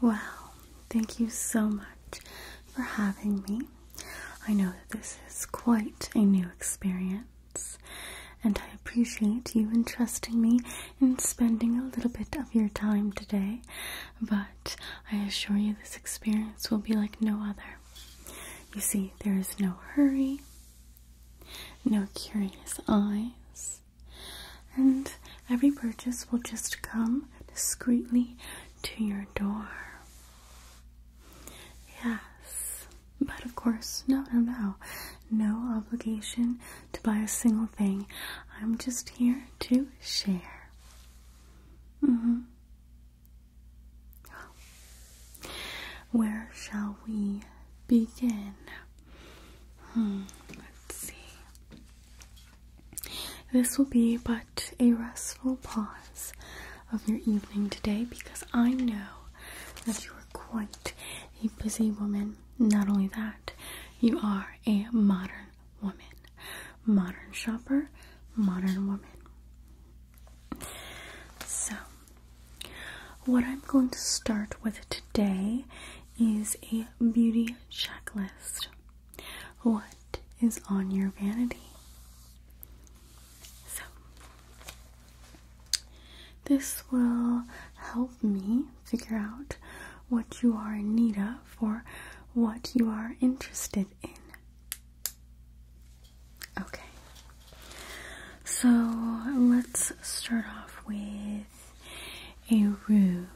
Well, thank you so much for having me. I know that this is quite a new experience, and I appreciate you entrusting me in spending a little bit of your time today, but I assure you this experience will be like no other. You see, there is no hurry, no curious eyes, and every purchase will just come discreetly to your door. Yes, but of course, no, no, no. No obligation to buy a single thing. I'm just here to share. hmm. Where shall we begin? Hmm, let's see. This will be but a restful pause of your evening today because I know that you are quite a busy woman. Not only that, you are a modern woman, modern shopper, modern woman. So, what I'm going to start with today is a beauty checklist. What is on your vanity? So, this will help me figure out what you are in need of for what you are interested in. Okay, so let's start off with a rude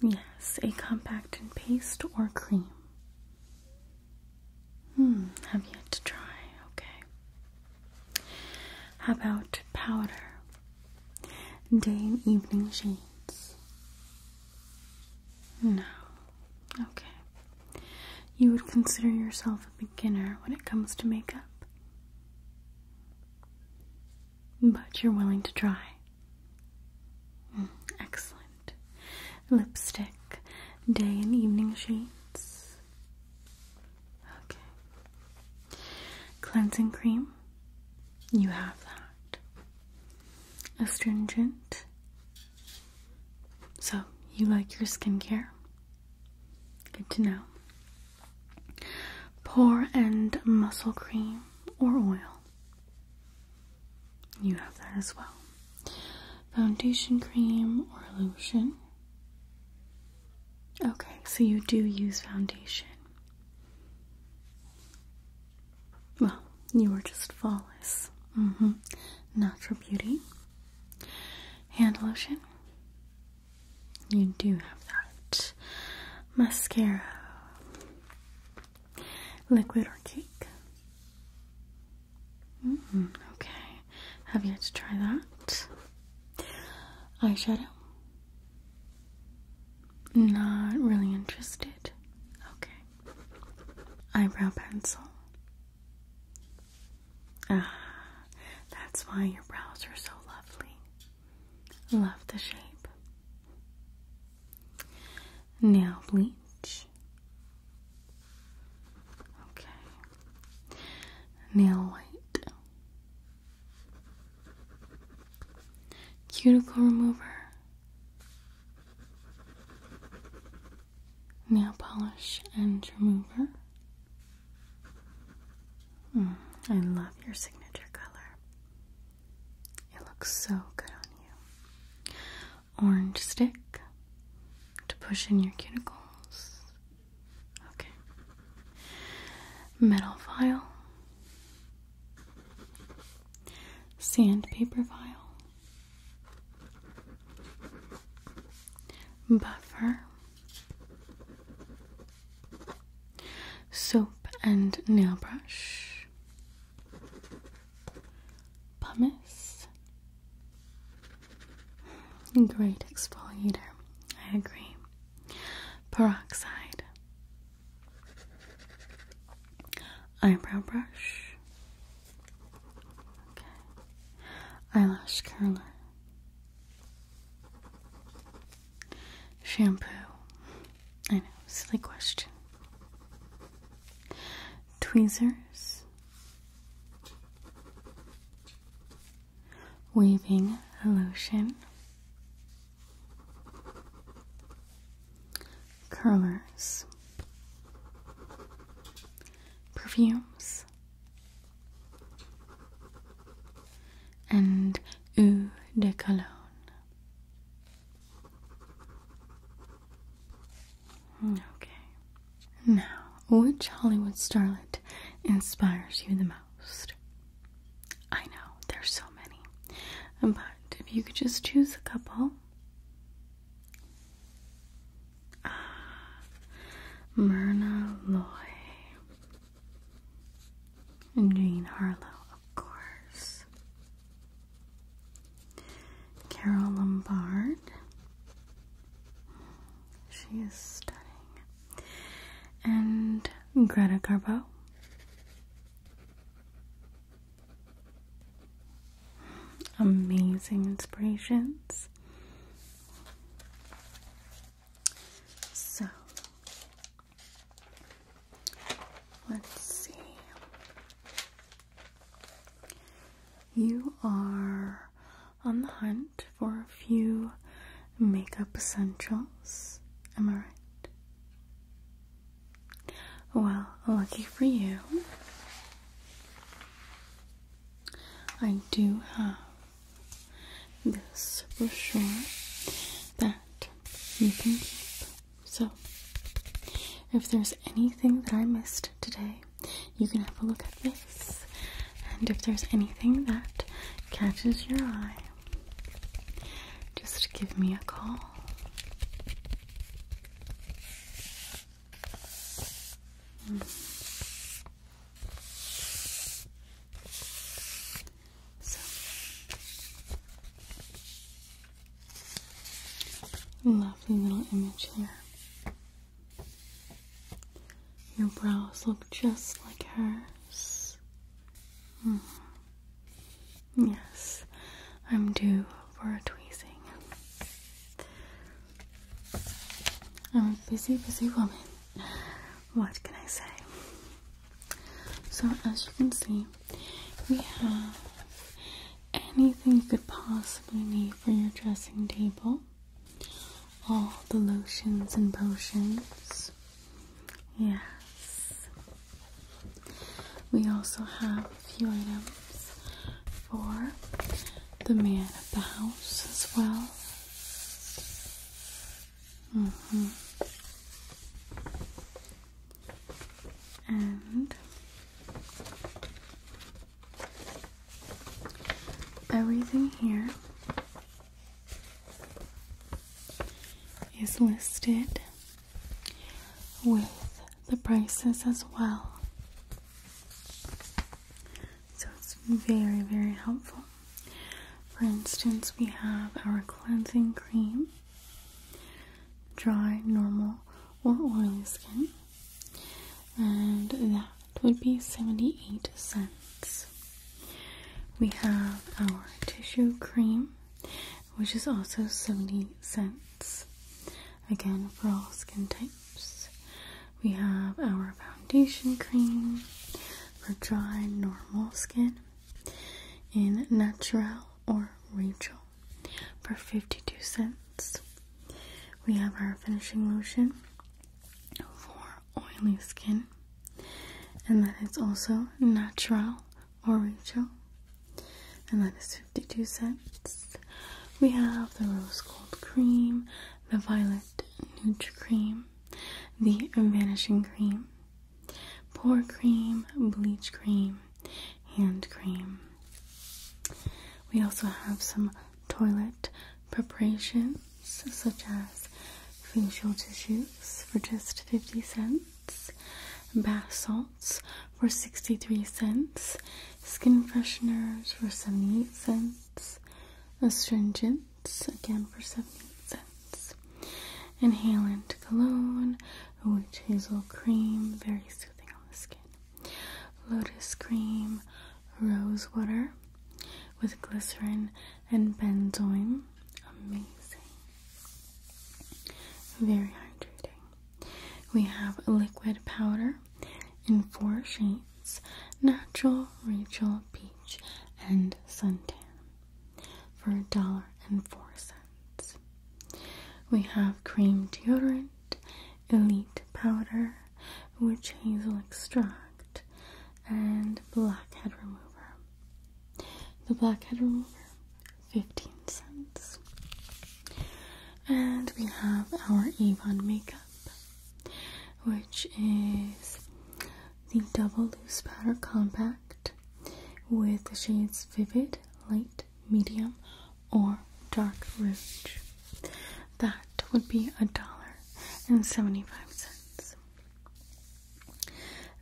Yes, a compact and paste or cream. Hmm, have yet to try. Okay. How about powder? Day and evening shades? No. Okay. You would consider yourself a beginner when it comes to makeup? but you're willing to try. Mm, excellent. Lipstick, day and evening shades. Okay. Cleansing cream, you have that. Astringent. So, you like your skincare? Good to know. Pore and muscle cream or oil. You have that as well. Foundation cream or lotion. Okay, so you do use foundation. Well, you are just flawless. Mm-hmm. Natural beauty. Hand lotion. You do have that mascara, liquid or cake. Mm-hmm, okay, have you had to try that eyeshadow? Not really interested. Okay, eyebrow pencil. Ah, that's why your brows are so lovely. Love the shape. Now bleach. Okay. Nail white. Cuticle remover. Nail polish and remover. Hmm, I love your signature color. It looks so good on you. Orange stick to push in your cuticles. Okay. Metal file. Sandpaper file. Buffer. Soap and nail brush, pumice, great exfoliator, I agree, peroxide, eyebrow brush, eyelash curler. Shampoo. I know, silly question. Tweezers. Weaving lotion. Curlers. Perfumes and eau de cologne. Hmm, okay. Now, which Hollywood starlet inspires you the most? I know, there's so many. But if you could just choose a couple. Ah, Myrna Loy. And Jane Harlow, of course. Carol Lombard. She is stunning. And Greta Garbo. Amazing inspirations. So, Let's see. You are on the hunt for a few makeup essentials. Am I right? Well, lucky for you, I do have this brochure that you can keep. So, if there's anything that I missed today, you can have a look at this. And if there's anything that catches your eye, just give me a call. Mm lovely little image here. Your brows look just like hers. Mm-hmm. Yes, I'm due for a tweezing. I'm a busy, busy woman. What can I say? So as you can see, we have anything you could possibly need for your dressing table. All the lotions and potions. Yes. We also have a few items for the man of the house as well. And everything here is listed with the prices as well. So it's very, very helpful. For instance, we have our cleansing cream, dry, normal, or oily skin, and that would be 78 cents. We have our tissue cream, which is also 70 cents. Again, for all skin types. We have our foundation cream for dry, normal skin, in natural or Rachel for 52 cents. We have our finishing lotion for oily skin, and then it's also natural or Rachel, and that is 52 cents. We have the rose gold cream, the violet nude cream, the vanishing cream, pore cream, bleach cream, hand cream. We also have some toilet preparations such as facial tissues for just 50 cents, bath salts for 63 cents, skin fresheners for 78 cents, astringent again for 78 cents. Inhalant cologne, witch hazel cream, very soothing on the skin. Lotus cream, rose water with glycerin and benzoin. Amazing. Very hydrating. We have liquid powder in four shades natural, Rachel, peach, and suntan for a dollar and four cents. We have cream deodorant, elite powder, witch hazel extract, and blackhead remover. The blackhead remover, 15 cents. And we have our Avon makeup, which is the double loose powder compact with the shades Vivid, Light, Medium, or Dark Rouge. That would be a dollar and seventy-five cents.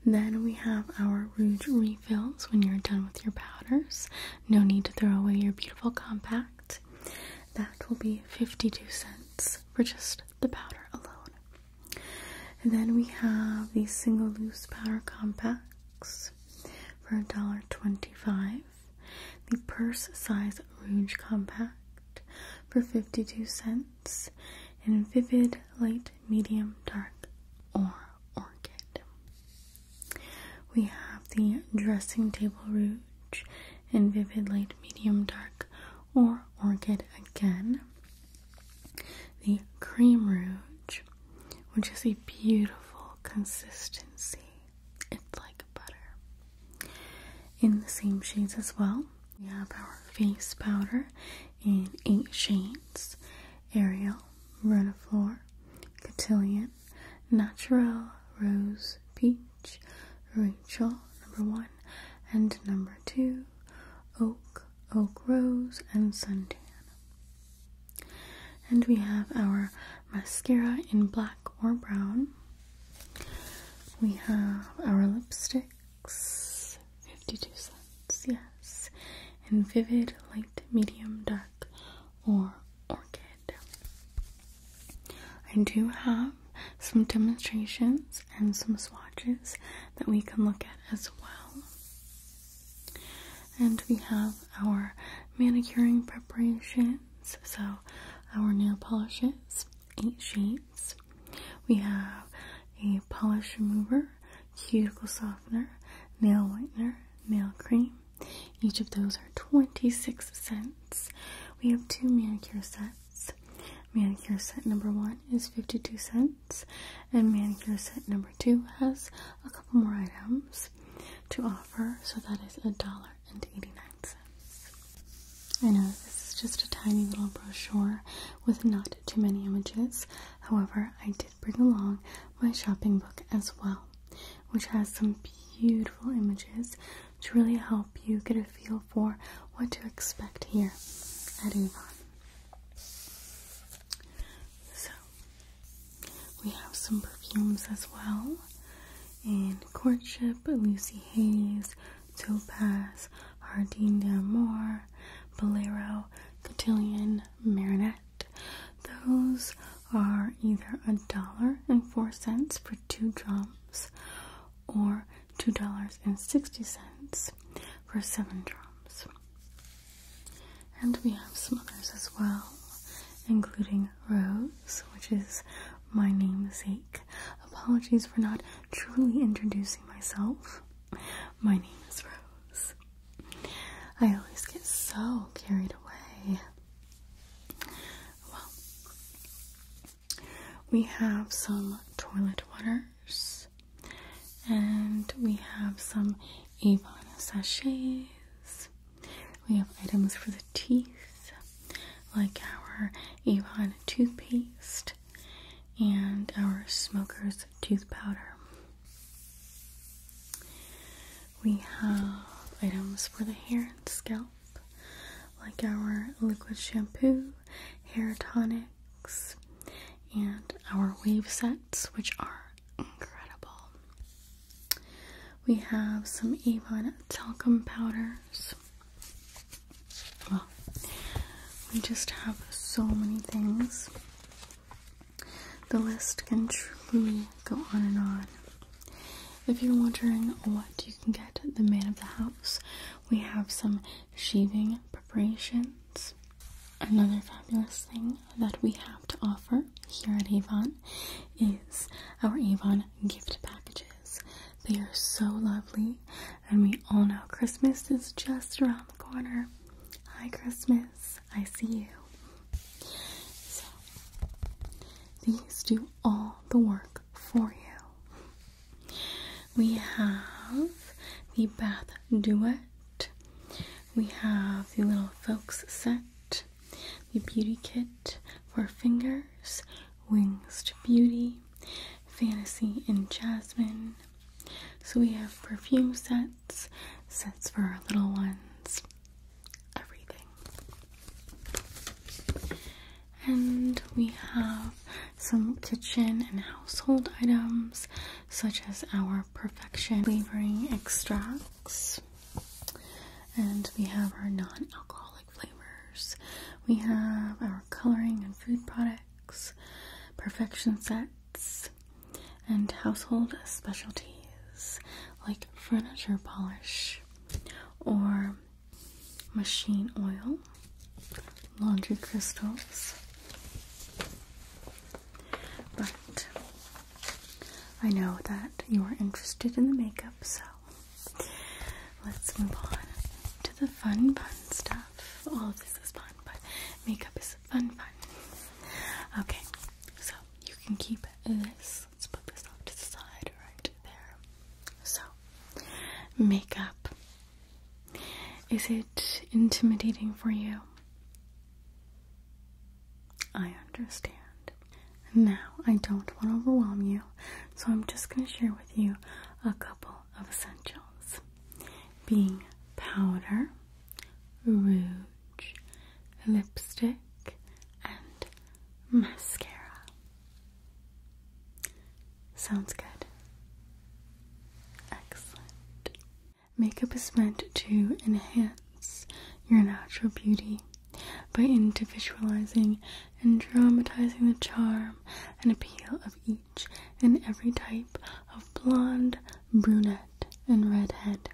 Then we have our rouge refills when you're done with your powders. No need to throw away your beautiful compact. That will be 52 cents for just the powder alone. And then we have the single loose powder compacts for $1.25. The purse size rouge compact for 52 cents. And vivid light, medium, dark, or orchid. We have the dressing table rouge in vivid light, medium, dark, or Orchid again. The Cream Rouge, which is a beautiful consistency, it's like butter. In the same shades as well, we have our face powder in eight shades Ariel, Renaflore, Cotillion, Natural, Rose, Peach, Rachel, number one, and number two, Oak, oak rose, and suntan. And we have our mascara in black or brown. We have our lipsticks, 52 cents, yes, in vivid, light, medium, dark, or orchid. I do have some demonstrations and some swatches that we can look at as well. And we have our manicuring preparations, so our nail polishes, eight shades. We have a polish remover, cuticle softener, nail whitener, nail cream. Each of those are 26 cents. We have two manicure sets. Manicure set number one is 52 cents ones. And manicure set number two has a couple more items to offer, so that is a dollar and eighty-nine cents. I know this is just a tiny little brochure with not too many images. However, I did bring along my shopping book as well, which has some beautiful images to really help you get a feel for what to expect here at Avon. So, we have some perfumes as well in Courtship, Lucy Hayes, Topaz, Hardine d'Amour, Bolero, Cotillion, Marinette. Those are either a dollar and four cents for two drums or two dollars and sixty cents for seven drums. And we have some others as well, including Rose, which is my namesake. Apologies for not truly introducing myself. My name is Rose. I always get so carried away. Well, we have some toilet waters. And we have some Avon sachets. We have items for the teeth, like our Avon toothpaste and our Smoker's tooth powder. We have items for the hair and scalp, like our liquid shampoo, hair tonic, and our wave sets, which are incredible. We have some Avon talcum powders. Well, we just have so many things. The list can truly go on and on. If you're wondering what you can get the man of the house, we have some shaving preparations, Another fabulous thing that we have to offer here at Avon is our Avon gift packages. They are so lovely, and we all know Christmas is just around the corner. Hi, Christmas. I see you. So, these do all the work for you we have the bath duet, we have the little folks set, the beauty kit for fingers, wings to beauty, fantasy and jasmine. So we have perfume sets, sets for our little ones, everything. And we have some kitchen and household items, such as our perfection flavoring extracts, and we have our non alcoholic flavors. We have our coloring and food products, perfection sets, and household specialties like furniture polish or machine oil laundry crystals. But I know that you are interested in the makeup, so let's move on to the fun, fun stuff. All of this is fun, but makeup is fun, fun. Okay, so you can keep this. Let's put this off to the side right there. So, makeup is it intimidating for you? I understand. Now, I don't want to overwhelm you, so I'm just going to share with you a couple of essentials being powder, rouge, lipstick, and mascara. Sounds good. Excellent. Makeup is meant to enhance your natural beauty by individualizing and dramatizing the charm and appeal of each and every type of blonde, brunette, and redhead.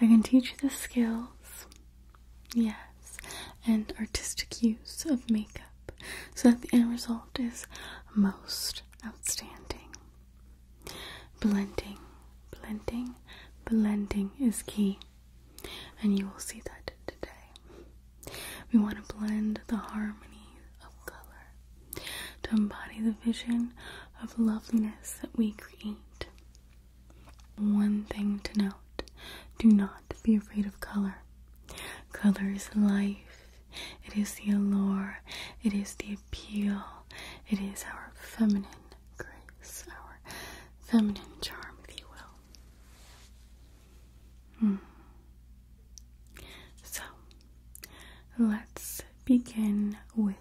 I can teach you the skills, yes, and artistic use of makeup so that the end result is most outstanding. Blending, blending, blending is key, and you will see that today. We want to blend the harmony of color to embody the vision of loveliness that we create. One thing to note do not be afraid of color. Color is life, it is the allure. It is the appeal. It is our feminine grace, our feminine charm, if you will. Hmm. So, let's begin with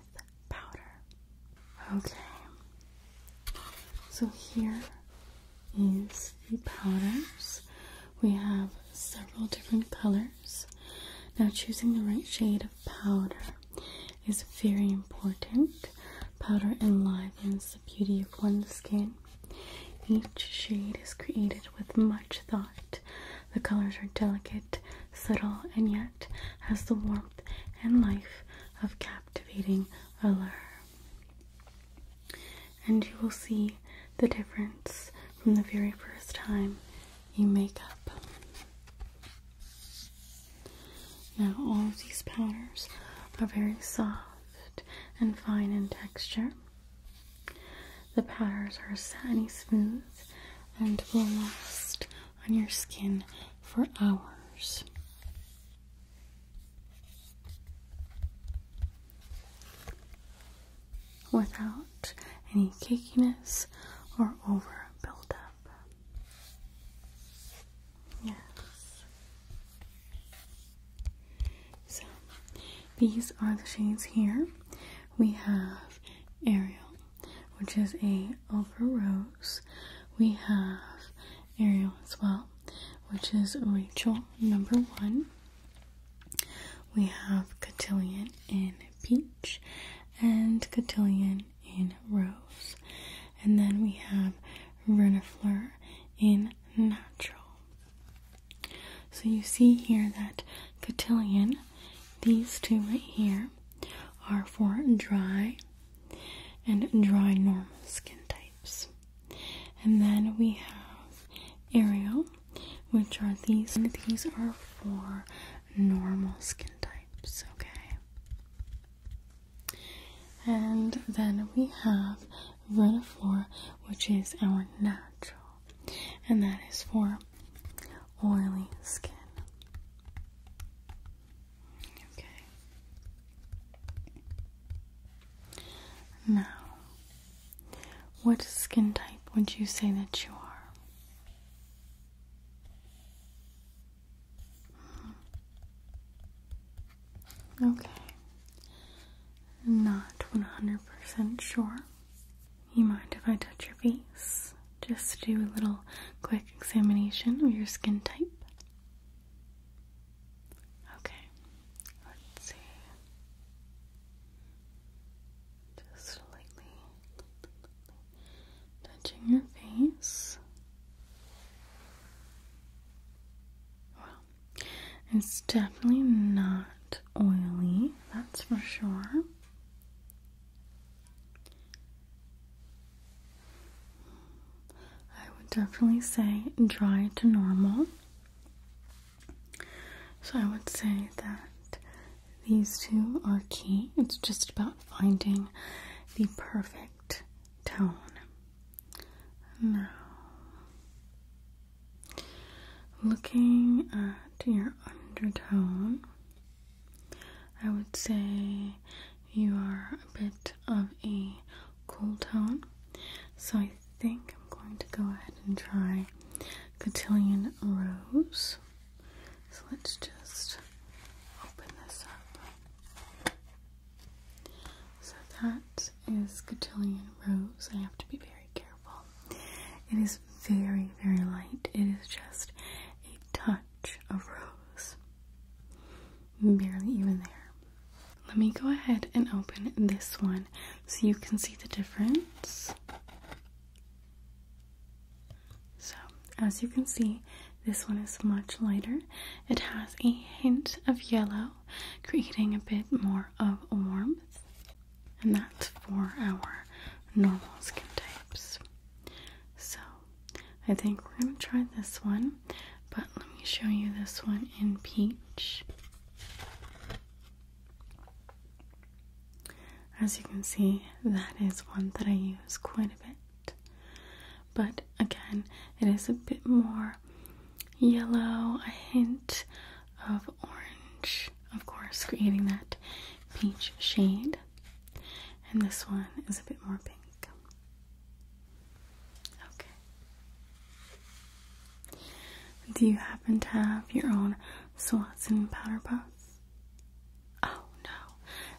powder. Okay. So, here is the powders we have several different colors. Now, choosing the right shade of powder is very important. Powder enlivens the beauty of one's skin. Each shade is created with much thought. The colors are delicate, subtle, and yet has the warmth and life of captivating allure. And you will see the difference from the very first time you make up. Now, all of these powders are very soft and fine in texture. The powders are satiny smooth and will last on your skin for hours without any cakeiness or over buildup. Yes. So these are the shades here. We have Ariel, which is a over rose. We have Ariel as well, which is Rachel number one. We have cotillion in peach and cotillion in rose. And then we have renifleur in natural. So you see here that cotillion, these two right here, are for dry and dry normal skin types. And then we have Ariel which are these, these are for normal skin types, okay? And then we have Vitafor, which is our natural, and that is for oily skin. Okay. Now, what skin type would you say that you are? Okay. Not 100% sure. You mind if I touch your face? Just do a little quick examination of your skin type. Okay. Let's see. Just lightly touching your face. Well, it's definitely not oily, that's for sure. I would definitely say dry to normal. So I would say that these two are key. It's just about finding the perfect tone. Now, looking at your undertone, I would say you are a bit of a cool tone. So I think I'm going to go ahead and try Cotillion Rose. So let's just open this up. So that is Cotillion Rose. I have to be very careful. It is very, very light. It is just a touch of rose. Barely even there. Let me go ahead and open this one so you can see the difference. So, as you can see, this one is much lighter. It has a hint of yellow, creating a bit more of warmth. And that's for our normal skin types. So, I think we're going to try this one, but let me show you this one in peach. As you can see, that is one that I use quite a bit. But again, it is a bit more yellow, a hint of orange, of course, creating that peach shade. And this one is a bit more pink. Okay. Do you happen to have your own Swanson powder puff? Oh no,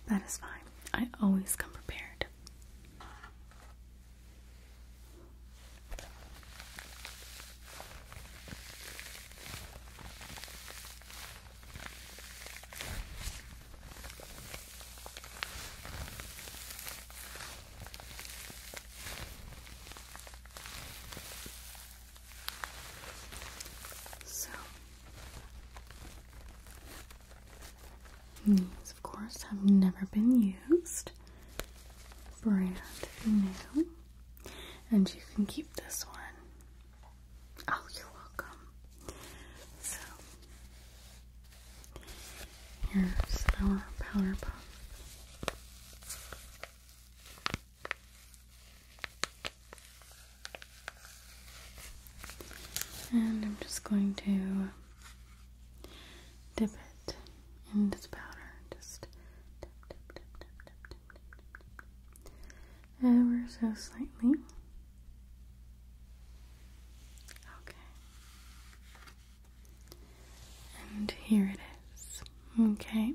that is fine. I always come prepared. So, these, of course, have never been used. Brand new. And you can keep this one. Oh, you're welcome. So, here's our Powerpuff. And I'm just going to dip it in this powder. Just dip, dip, dip, dip, dip, dip, dip, dip, dip. ever so slightly. Okay. And here it is. Okay.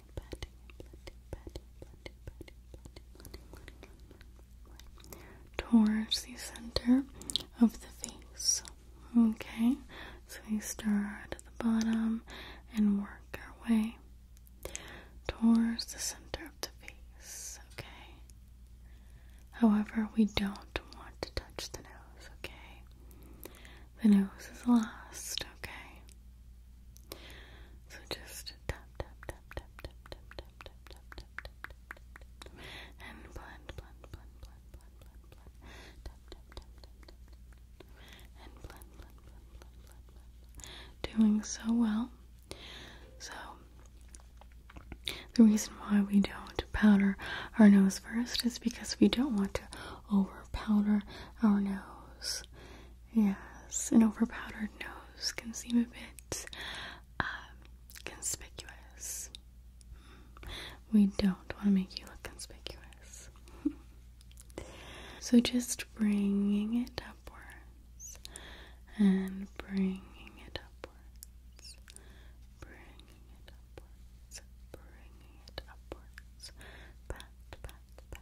towards the center of the face. Okay, so we start at the bottom and work our way towards the center of the face. Okay. However, we don't want to touch the nose. Okay. The nose is last. Okay. So just tap, tap, tap, tap, tap, tap, tap, tap, tap, tap, tap, tap, and blend, blend, blend, blend, blend, blend, blend, tap, tap, tap, tap, tap, and blend, blend, blend, blend, blend, blend. Doing so well. So the reason why we don't powder our nose first is because we don't want to over powder our nose Yes, an overpowdered nose can seem a bit um, conspicuous. We don't want to make you look conspicuous. so just bringing it upwards and bringing it upwards, bringing it upwards, bringing it upwards, pat, pat, pat.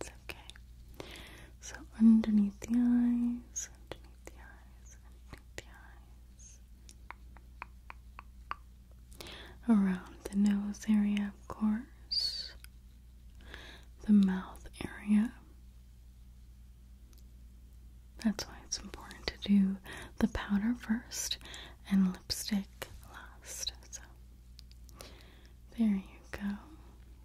It's okay. So underneath the eyes, underneath the eyes, underneath the eyes. Around the nose area, of course. The mouth area. That's why it's important to do the powder first and lipstick last. So, there you go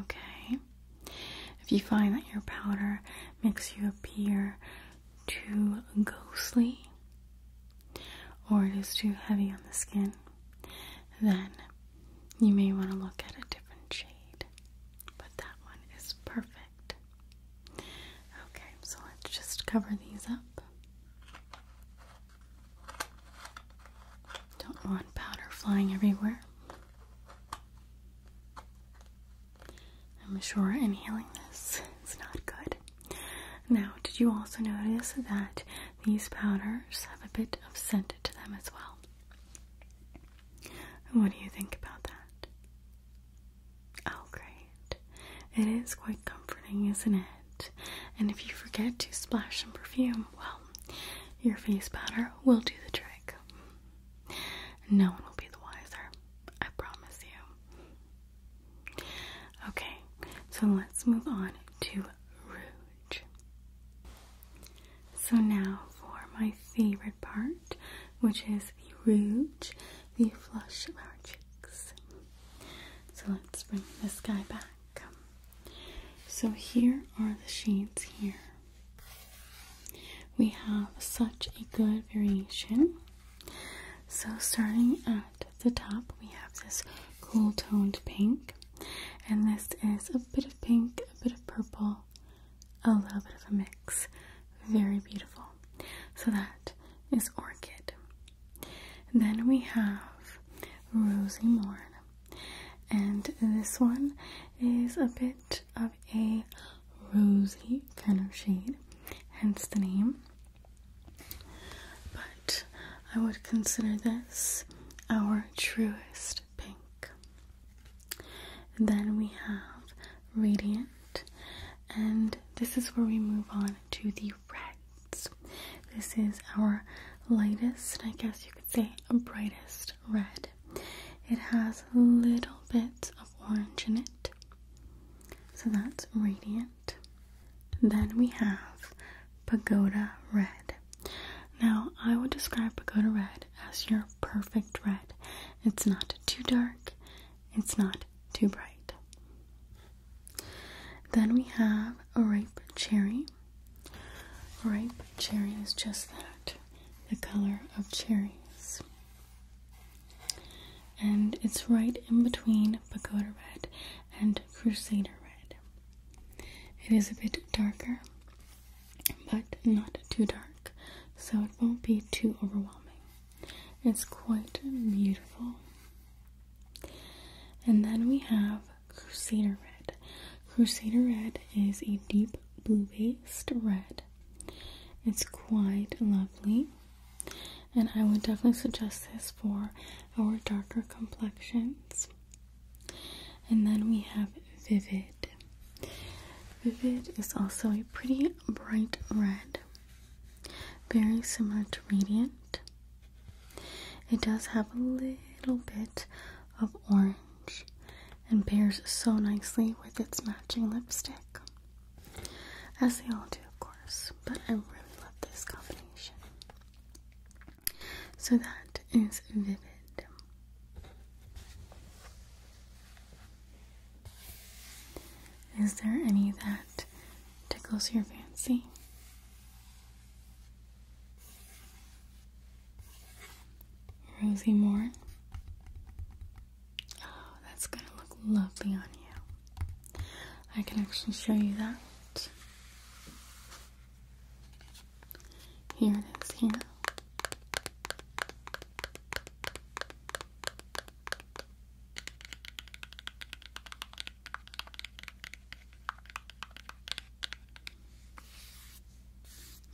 Okay. If you find that your powder makes you appear too ghostly or it is too heavy on the skin, then you may want to look at a different shade. But that one is perfect. Okay, so let's just cover these up. Don't want powder flying everywhere. I'm sure inhaling this is not good. Now, did you also notice that these powders have a bit of scent to them as well? What do you think about that? Oh, great. It is quite comforting, isn't it? And if you forget to splash some perfume, well, your face powder will do the trick. No one will be the wiser. I promise you. Okay, so let's move on to rouge. So now for my favorite part, which is the rouge, the flush of our cheeks. So let's bring this guy back. So here are the shades here. We have such a good variation. So starting at the top, we have this cool toned pink. And this is a bit of pink, a bit of purple, a little bit of a mix. Very beautiful. So that is Orchid. then we have Rosie Morn and this one is a bit of a rosy kind of shade, hence the name. But I would consider this our truest pink. then we have Radiant, and this is where we move on to the reds. This is our lightest, I guess you say a brightest red. It has little bits of orange in it. So that's radiant. Then we have pagoda red. Now, I would describe pagoda red as your perfect red. It's not too dark, it's not too bright. Then we have a ripe cherry. Ripe cherry is just that the color of cherries. And it's right in between pagoda red and crusader red. It is a bit darker, but not too dark, so it won't be too overwhelming. It's quite beautiful. And then we have Crusader Red. Crusader Red is a deep blue based red. It's quite lovely. And I would definitely suggest this for our darker complexions. And then we have Vivid. Vivid is also a pretty bright red, very similar to Radiant. It does have a little bit of orange and pairs so nicely with its matching lipstick. As they all do, of course, but I really love this combination. So that is Vivid. Is there any that tickles your fancy? Rosie more. Oh, that's gonna look lovely on you. I can actually show you that. Here it is here.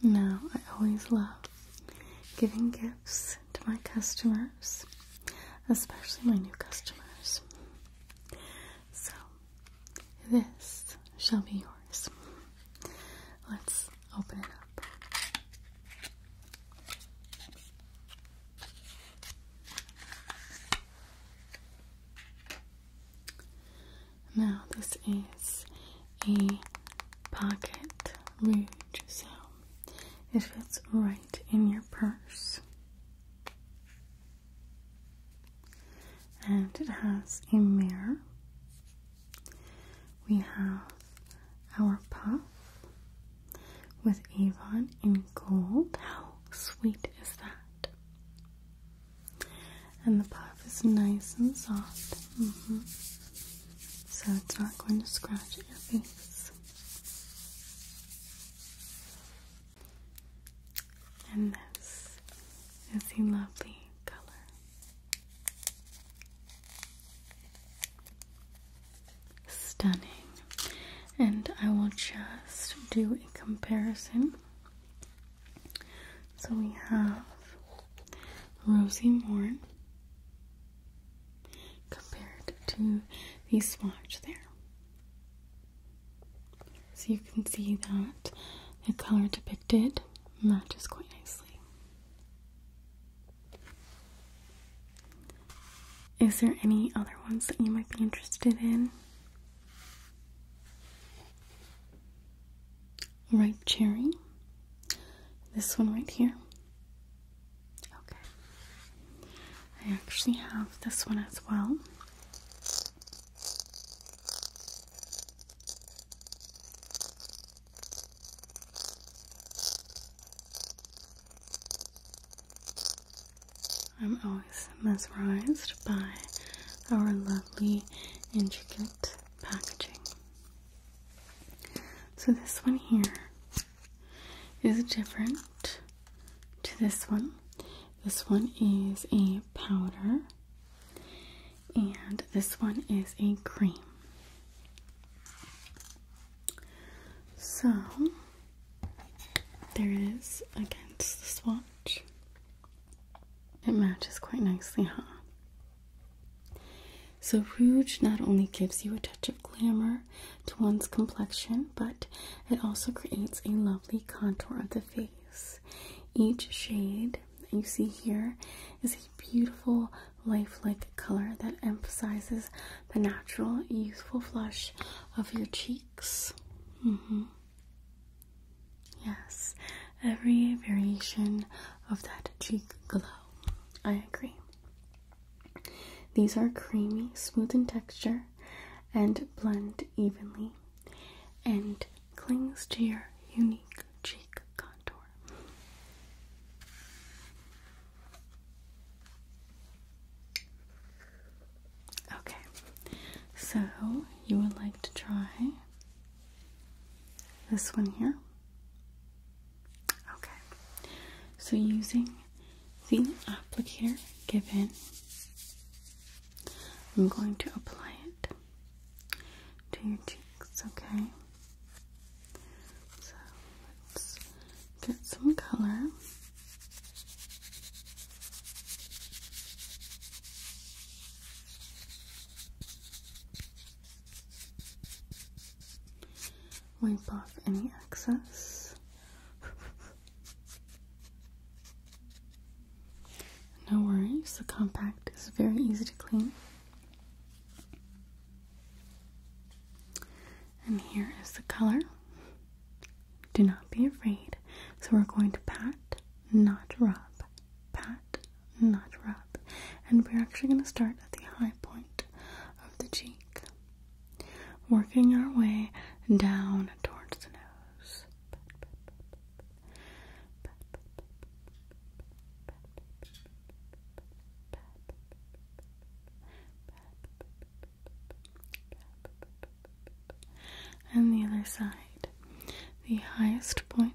Now, I always love giving gifts to my customers, especially my new customers. So, this shall be yours. Let's open it up. Now, this is a pocket rouge, so it fits right in your purse. And it has a mirror. We have our puff with Avon in gold. How sweet is that? and the puff is nice and soft. Mm-hmm. So it's not going to scratch your face. And this is a lovely color. Stunning. And I will just do a comparison so we have Rosie Morn compared to the swatch there. So you can see that the color depicted matches quite nicely. Is there any other ones that you might be interested in? ripe cherry. This one right here. Okay. I actually have this one as well. I'm always mesmerized by our love lovely intricate packaging. So this one here is different to this one. This one is a powder and this one is a cream. So there it is against the swatch. It matches quite nicely, huh? So, rouge not only gives you a touch of glamour to one's complexion, but it also creates a lovely contour of the face. Each shade you see here is a beautiful, lifelike color that emphasizes the natural, youthful flush of your cheeks. Mm-hmm. Yes, every variation of that cheek glow. I agree. These are creamy, smooth in texture, and blend evenly and clings to your unique cheek contour. Okay, so you would like to try this one here. Okay. So using the applicator given, I'm going to apply it to your cheeks, okay? So let's get some color. Wipe off any excess. no worries, the compact is very easy to clean. And here is the color. Do not be afraid. So we're going to pat not rub. Pat, not rub. And we're actually going to start at the high point of the cheek, working our way down towards the nose. And the other side, the highest point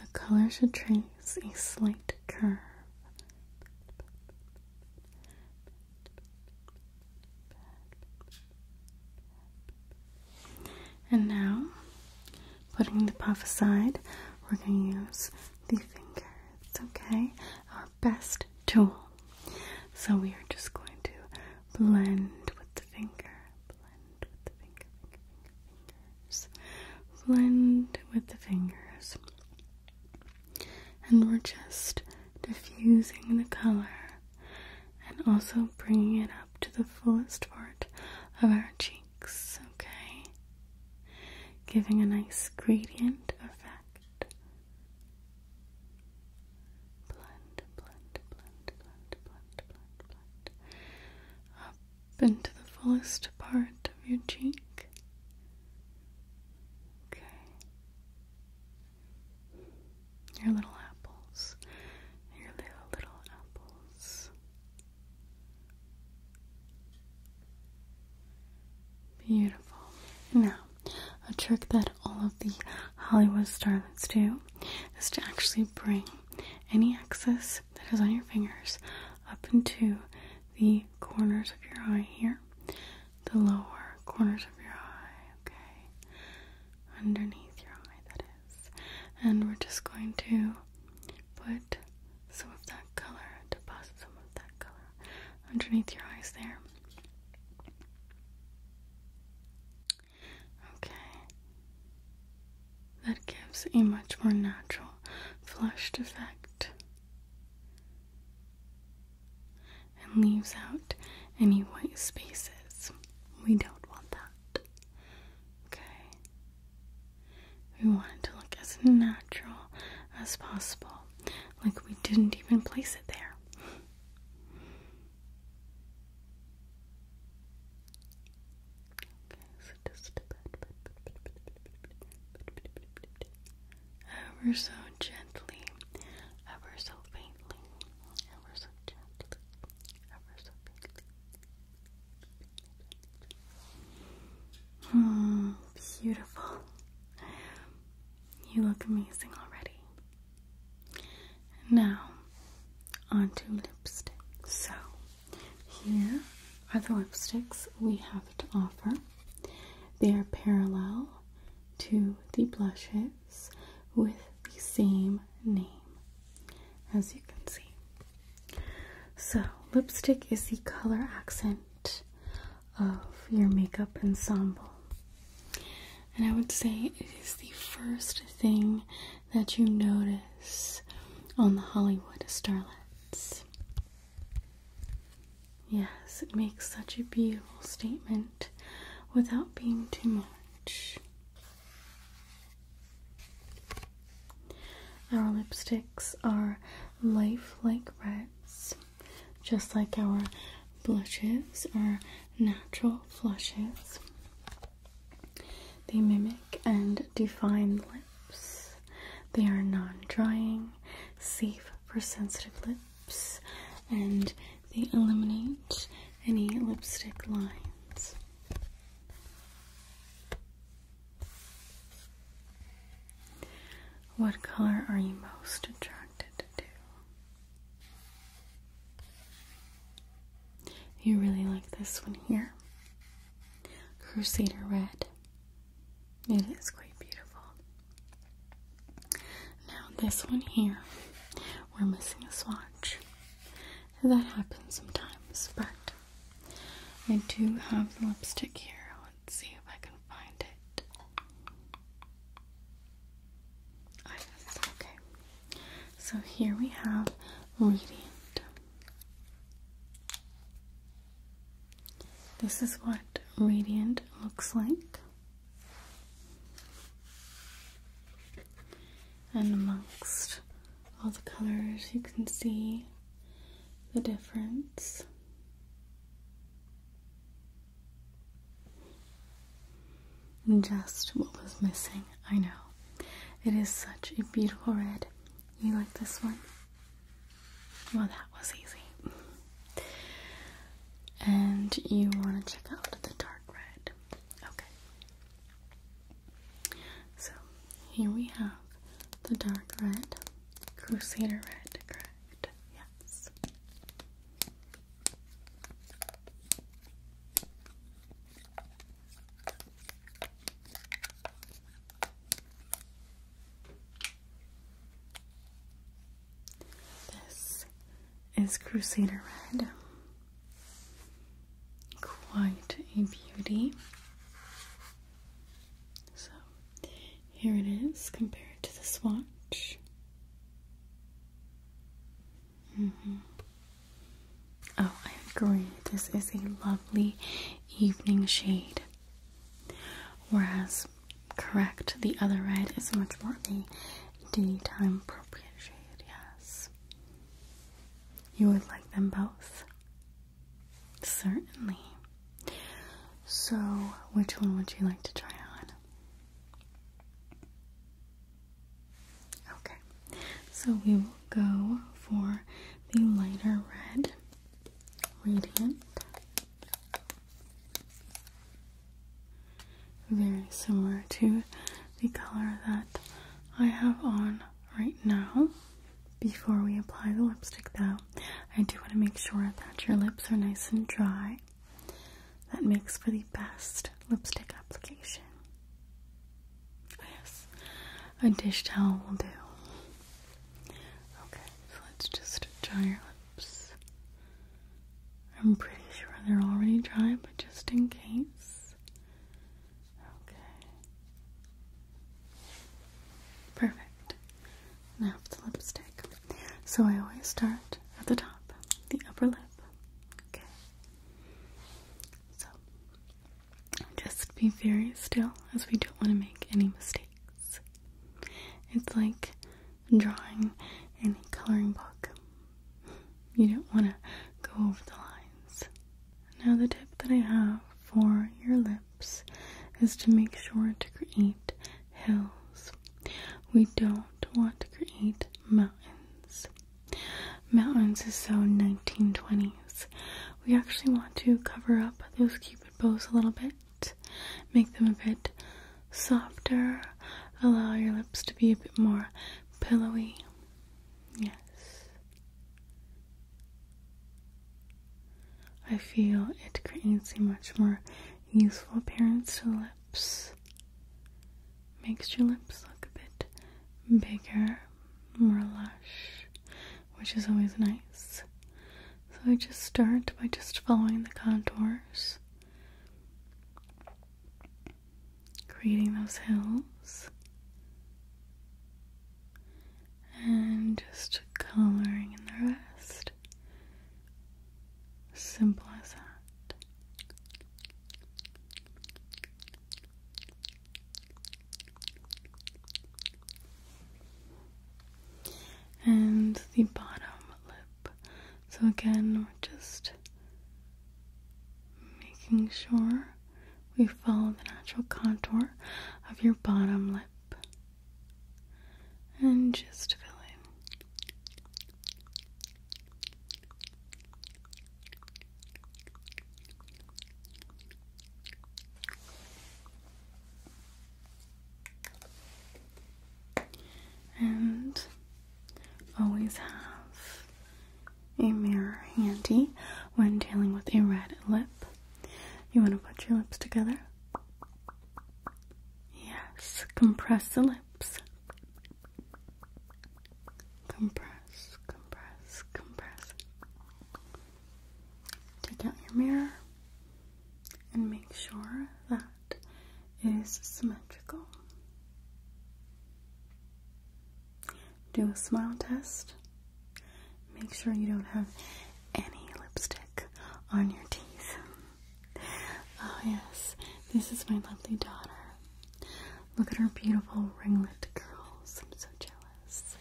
The color should trace a slight curve. And now putting the puff aside, we're going to use the fingers. okay, our best tool. So we are just going to blend with the finger, blend with the fingers, blend with the fingers. And we're just diffusing the color and also bringing it up to the fullest part of our cheek okay? Giving a nice gradient effect. Blend, blend, blend, blend, blend, blend, blend. Up into the fullest part of your cheek. Okay. Your little apples. Your little, little apples. Beautiful. Now, a trick that all of the Hollywood starlets do is to actually bring any excess that is on your fingers up into the corners of your eye here, the lower corners of your eye, okay, underneath your eye, that is. And we're just going to put some of that color, deposit some of that color underneath your eyes there. Okay. That gives a much more natural flushed effect and leaves out any white spaces. We don't want that. Okay. We wanted to look as natural as possible, like we didn't even place it there. Okay, so just ever so gently, ever so faintly, ever so gently, ever so faintly. Hmm, beautiful. You look amazing already. Now, onto lipstick. So, here are the lipsticks we have to offer. They are parallel to the blushes with the same name, as you can see. So, lipstick is the color accent of your makeup ensemble. And I would say it is the first thing that you notice on the Hollywood starlets. Yes, it makes such a beautiful statement without being too much. Our lipsticks are lifelike reds, just like our blushes are natural flushes. They mimic and define lips. They are non-drying, safe for sensitive lips, and they eliminate any lipstick lines. What color are you most attracted to? You really like this one here. Crusader Red. It is quite beautiful. Now this one here, we're missing a swatch. That happens sometimes, but I do have the lipstick here. Let's see if I can find it. okay. So here we have Radiant. This is what Radiant looks like. And amongst all the colors, you can see the difference. Just what was missing, I know. It is such a beautiful red. You like this one? Well, that was easy. And you want to check out the dark red. Okay. So, here we have the dark red. Crusader red, correct? Yes. This is Crusader Red. Quite a beauty. So here it is compared to the swatch. Mm-hmm. Oh, I agree. This is a lovely evening shade. Whereas, correct, the other red is much more a daytime appropriate shade, yes. You would like them both? Certainly. So, which one would you like to try on? Okay, so we will go for the lighter red, radiant. Very similar to the color that I have on right now before we apply the lipstick though, I do want to make sure that your lips are nice and dry. That makes for the best lipstick application. Yes, a dish towel will do. Okay, so let's just dry your lips. I'm pretty sure they're already dry, but just in case. Okay. Perfect. Now the lipstick. So I always start at the top, the upper lip. So just be very still as we don't want to make any mistakes. It's like drawing any coloring book. You don't want to go over the lines. Now the tip that I have for your lip is to make sure to create hills. We don't want to create mountains. Mountains is so 1920s. We actually want to cover up those cupid bows a little bit, make them a bit softer, allow your lips to be a bit more pillowy. Yes. I feel it creates a much more youthful appearance to lips. Makes your lips look a bit bigger, more lush, which is always nice. So I just start by just following the contours, creating those hills and just coloring in the rest. Simple as that. And the bottom lip. So, again, we're just making sure we follow the natural contour of your bottom lip and just filling, And always have a mirror handy when dealing with a red lip you want to put your lips together? Yes, compress the lips. Compress, compress, compress. Take out your mirror and make sure that is symmetrical. Do a smile test Make sure you don't have any lipstick on your teeth. Oh, yes, this is my lovely daughter. Look at her beautiful ringlet curls. I'm so jealous.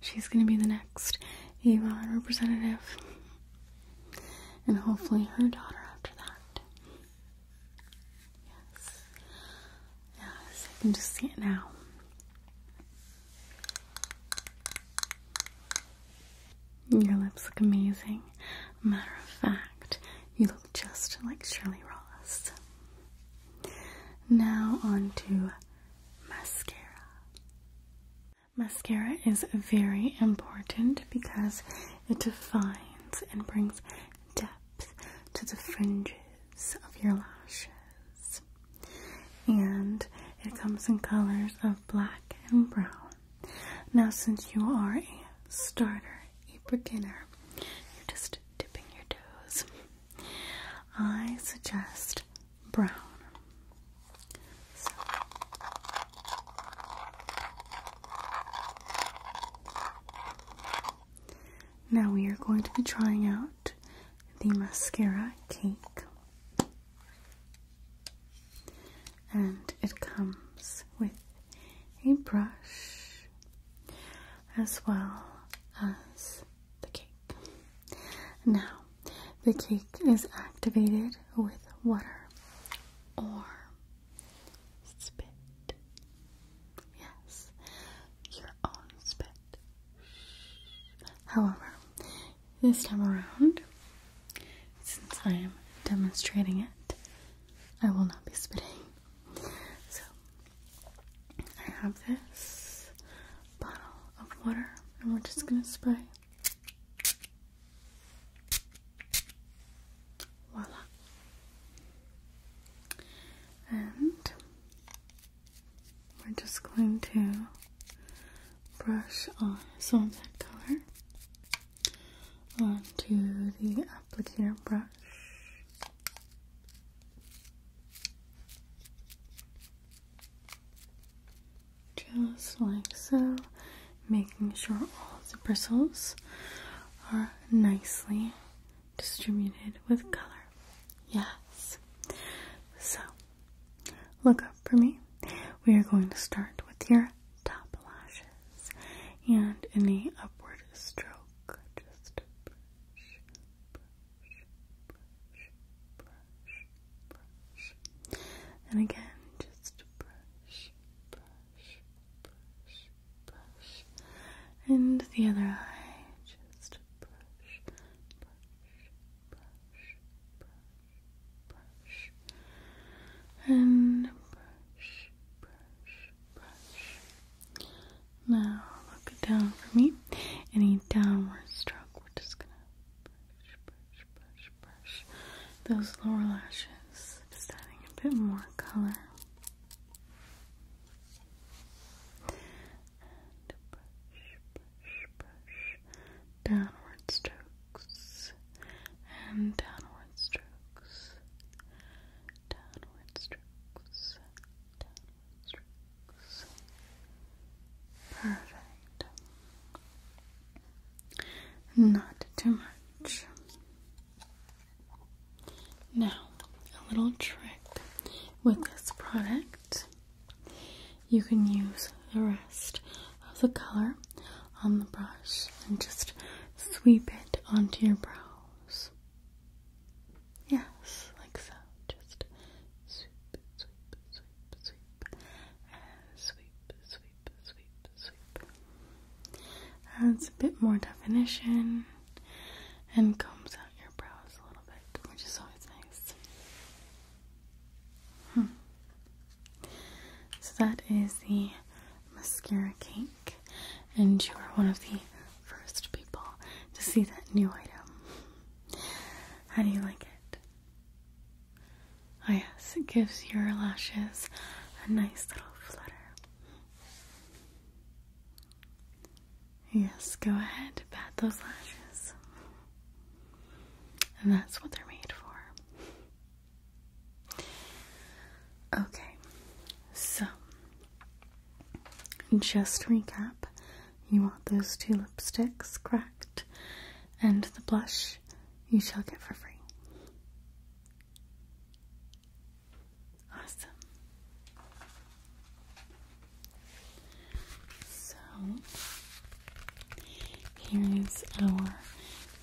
She's gonna be the next Avon representative, and hopefully, her daughter after that. Yes, yes, I can just see it now. Your lips look amazing. Matter of fact, you look just like Shirley Ross. Now on to mascara. Mascara is very important because it defines and brings depth to the fringes of your lashes and it comes in colors of black and brown. Now, since you are a starter, a beginner, you're just dipping your toes, I suggest brown. Now we are going to be trying out the mascara cake and it comes with a brush as well as the cake. Now, the cake is activated with water or spit. Yes, your own spit. However, this time around, since I am demonstrating it, I will not be spitting. So, I have this bottle of water, and we're just gonna spray. Voila. And we're just going to brush on some of that color onto the applicator brush. Just like so, making sure all the bristles are nicely distributed with color. Yes. So Look up for me. We are going to start with your top lashes and any upward stroke. Just brush, brush, brush, brush, brush. And again, just brush, brush, brush, brush. And the other eye, just brush, brush, brush, brush, and brush, brush, brush. Now look down for me. Any downward stroke, we're just gonna brush, brush, brush, brush those lower lashes, just adding a bit more color and brush, brush, brush. Downward strokes and downward strokes. Downward strokes. Downward strokes. Perfect. Not too much. Now, a little trick with this product you can use the rest of the color on the brush and just sweep it onto your brows. Yes, like so. Just sweep, sweep, sweep, sweep, and sweep, sweep, sweep, sweep. Adds a bit more definition and combs out your brows a little bit, which is always nice. Hmm. So that is the mascara cake, and you are one of the first people to see that new item. How do you like it? Oh, yes, it gives your lashes a nice little flutter. Yes, go ahead, bat those lashes. And that's what they're made for. Okay, so just recap you want those two lipsticks, correct? And the blush you shall get for free. Awesome. So here is our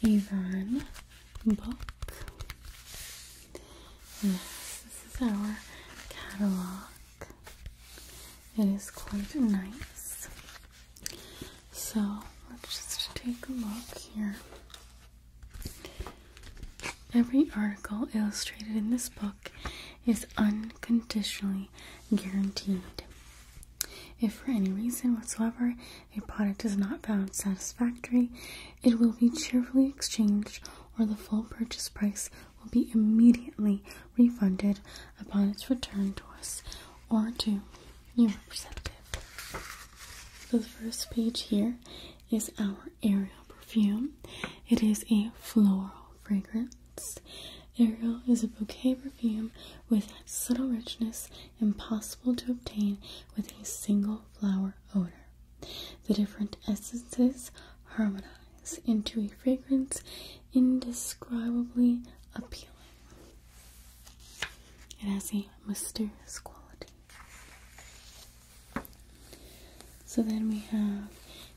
Avon book. Yes, this is our catalog. It is quite nice. So let's just take a look here. Every article illustrated in this book is unconditionally guaranteed. If for any reason whatsoever a product is not found satisfactory, it will be cheerfully exchanged or the full purchase price will be immediately refunded upon its return to us or to your representative. So the first page here is our Ariel perfume. It is a floral fragrance fragrance. Ariel is a bouquet perfume with subtle richness impossible to obtain with a single flower odor. The different essences harmonize into a fragrance indescribably appealing. It has a mysterious quality. So then we have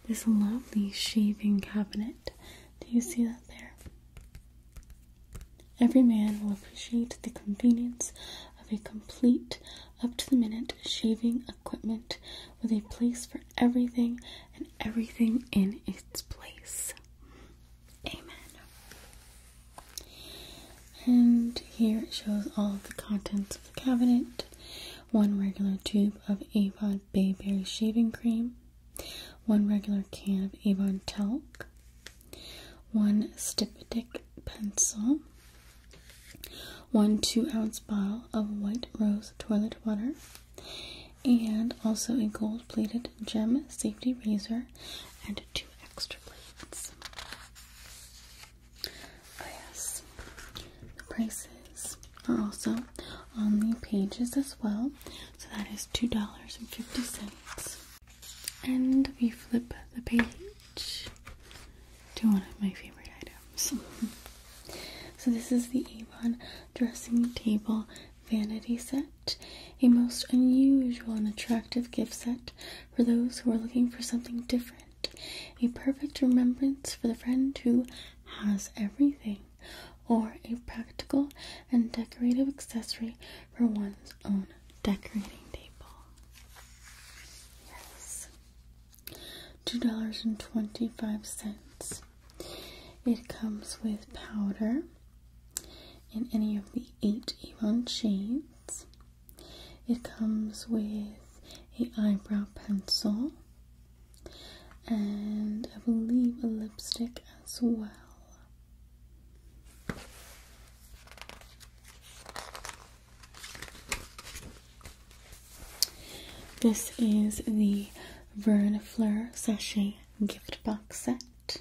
this lovely shaving cabinet do you see that there? Every man will appreciate the convenience of a complete, up to the minute shaving equipment with a place for everything and everything in its place. Amen. And here it shows all of the contents of the cabinet one regular tube of Avon Bayberry shaving cream, 1 regular can of Avon Talc, 1 Styptic pencil, 1 2 ounce bottle of White Rose toilet water, and also a gold plated gem safety razor and 2 extra blades. Oh, yes, the prices are also on the pages as well. So that is $2.50. And we flip the page to one of my favorite items. so this is the Avon Dressing Table Vanity Set, a most unusual and attractive gift set for those who are looking for something different. A perfect remembrance for the friend who has everything or a practical and decorative accessory for one's own decorating table. Yes. $2.25. It comes with powder in any of the eight even shades. It comes with a eyebrow pencil and I will leave a lipstick as well. This is the Verne Fleur Sachet Gift Box Set,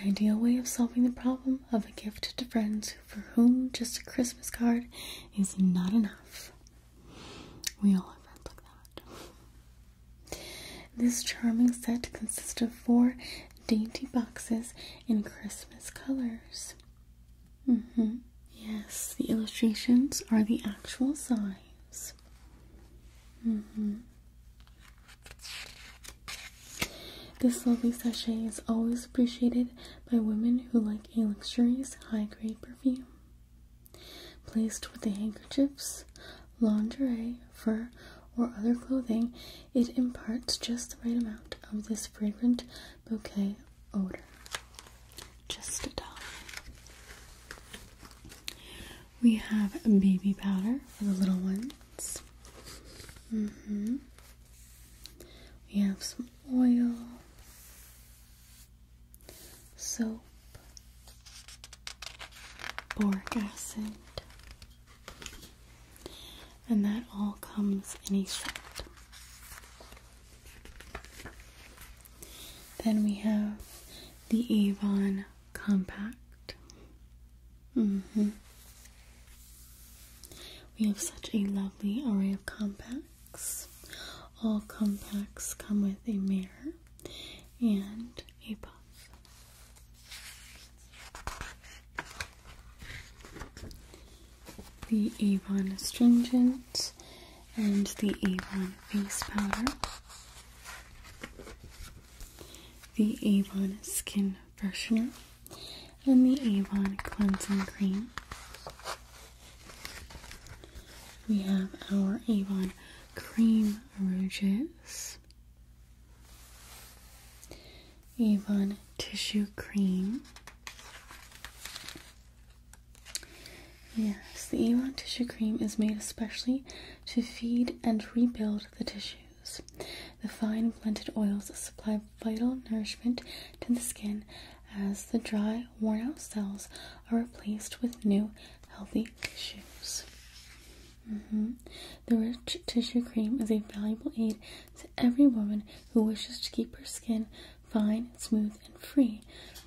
an ideal way of solving the problem of a gift to friends for whom just a Christmas card is not enough. We all have friends like that. This charming set consists of four dainty boxes in Christmas colors. Mm-hmm. Yes, the illustrations are the actual size. Mm-hmm. This lovely sachet is always appreciated by women who like a luxurious high grade perfume. Placed with the handkerchiefs, lingerie, fur, or other clothing, it imparts just the right amount of this fragrant bouquet odor. Just a dollar. We have baby powder for the little ones. Mm-hmm. We have some oil soap, boric acid, and that all comes in a set. Then we have the Avon Compact. -hmm. We have such a lovely array of compacts. All compacts come with a mirror and new The Avon Astringent and the Avon Face Powder. The Avon Skin Freshener and the Avon Cleansing Cream. We have our Avon Cream Avon Tissue Cream. Yes, the Avon Tissue Cream is made especially to feed and rebuild the tissues. The fine blended oils supply vital nourishment to the skin as the dry, worn out cells are replaced with new, healthy chronic mm-hmm. The rich tissue cream is a valuable aid to every woman who wishes to keep her skin fine, smooth, and free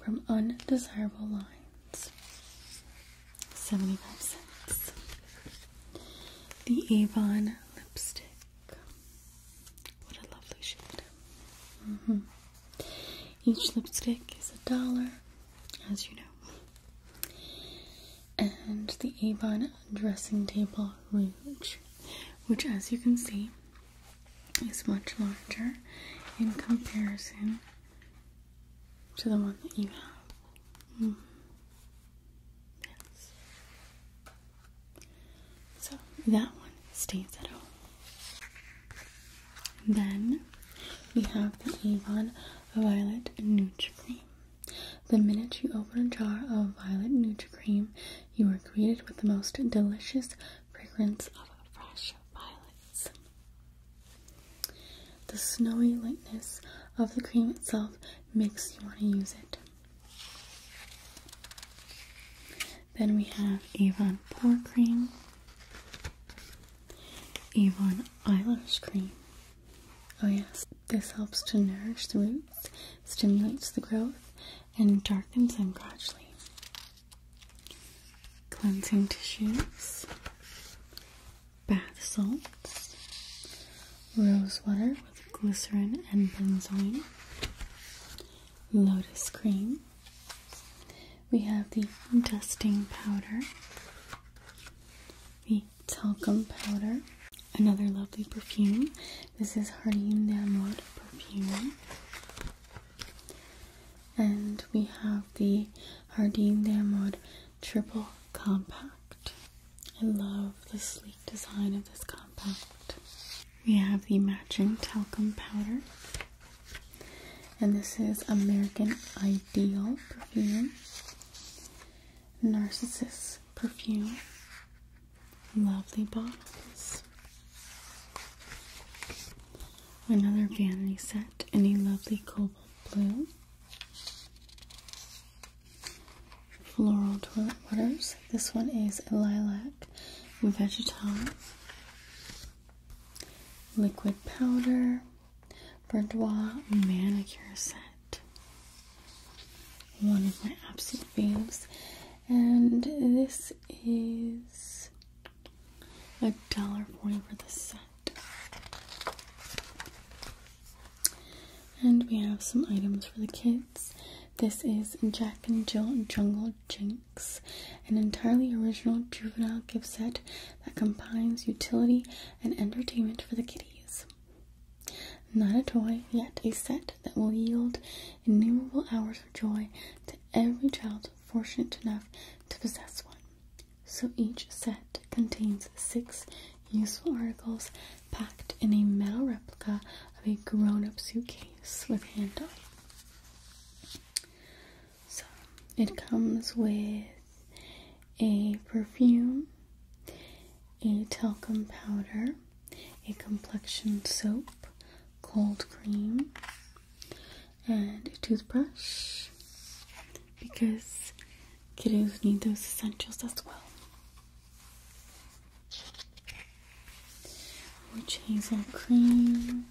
from undesirable lines. 75 cents. The Avon lipstick. What a lovely shade. Mm-hmm. Each lipstick is a dollar as you know. And the Avon dressing table range, which as you can see is much larger in comparison to the one that you have. Hmm. Yes. So that one stays at home. Then we have the Avon Violet Nutra Cream. The minute you open a jar of Violet Nutra Cream, you are greeted with the most delicious fragrance of fresh violets. The snowy lightness of the cream itself makes you want to use it. Then we have Avon Pore Cream. Avon Eyelash Cream. Oh yes, this helps to nourish the roots, stimulates the growth, and darkens them gradually. Cleansing tissues, bath salts, rose water with glycerin and benzoin, lotus cream, we have the dusting powder, the talcum powder, another lovely perfume. This is Hardine Namod perfume. And we have the Hardine Namod triple compact. I love the sleek design of this compact. We have the matching talcum powder. And this is American Ideal Perfume, Narcissus Perfume. Lovely bottles. Another vanity set in a lovely cobalt blue. Floral toilet waters. This one is a lilac vegetal. Liquid powder. Boudoir manicure set. One of my absolute faves. And this is a dollar forty for the set. And we have some items for the kids. This is Jack and Jill Jungle Jinx, an entirely original juvenile gift set that combines utility and entertainment for the kiddies. Not a toy, yet a set that will yield innumerable hours of joy to every child fortunate enough to possess one. So each set contains six useful articles packed in a metal replica of a grown up suitcase with handle. So it comes with a perfume, a talcum powder, a complexion soap, cold cream, and a toothbrush because kiddos need those essentials as well. Witch hazel cream,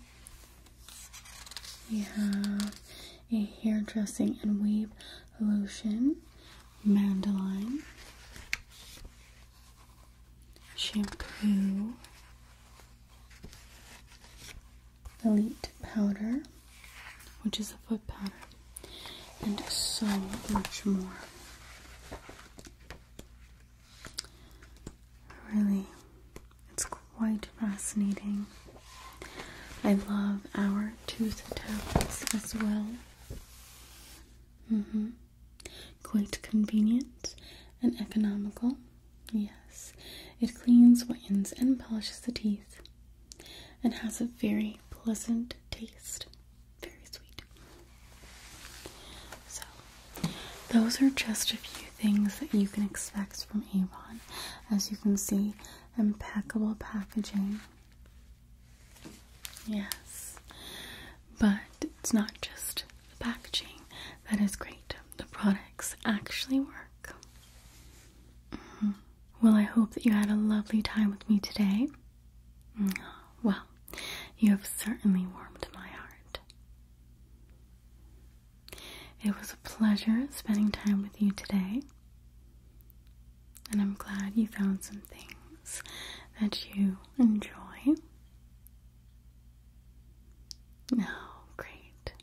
we have a hair dressing and weave lotion, mandoline, shampoo, elite powder, which is a foot powder, and so much more. Really, it's quite fascinating. I love our tooth tablets as well. Mm-hmm. Quite convenient and economical. Yes, it cleans, whitens, and polishes the teeth and has a very pleasant taste. Very sweet. So, those are just a few things that you can expect from Avon. As you can see, impeccable packaging. Yes, but it's not just the packaging that is great, the products actually work. Mm-hmm. Well, I hope that you had a lovely time with me today. Well, you have certainly warmed my heart. It was a pleasure spending time with you today, and I'm glad you found some things that you enjoy. Oh, great.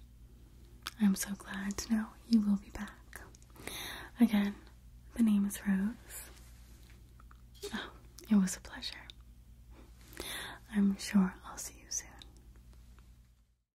I'm so glad to know you will be back. Again, the name is Rose. Oh, it was a pleasure. I'm sure I'll see you soon.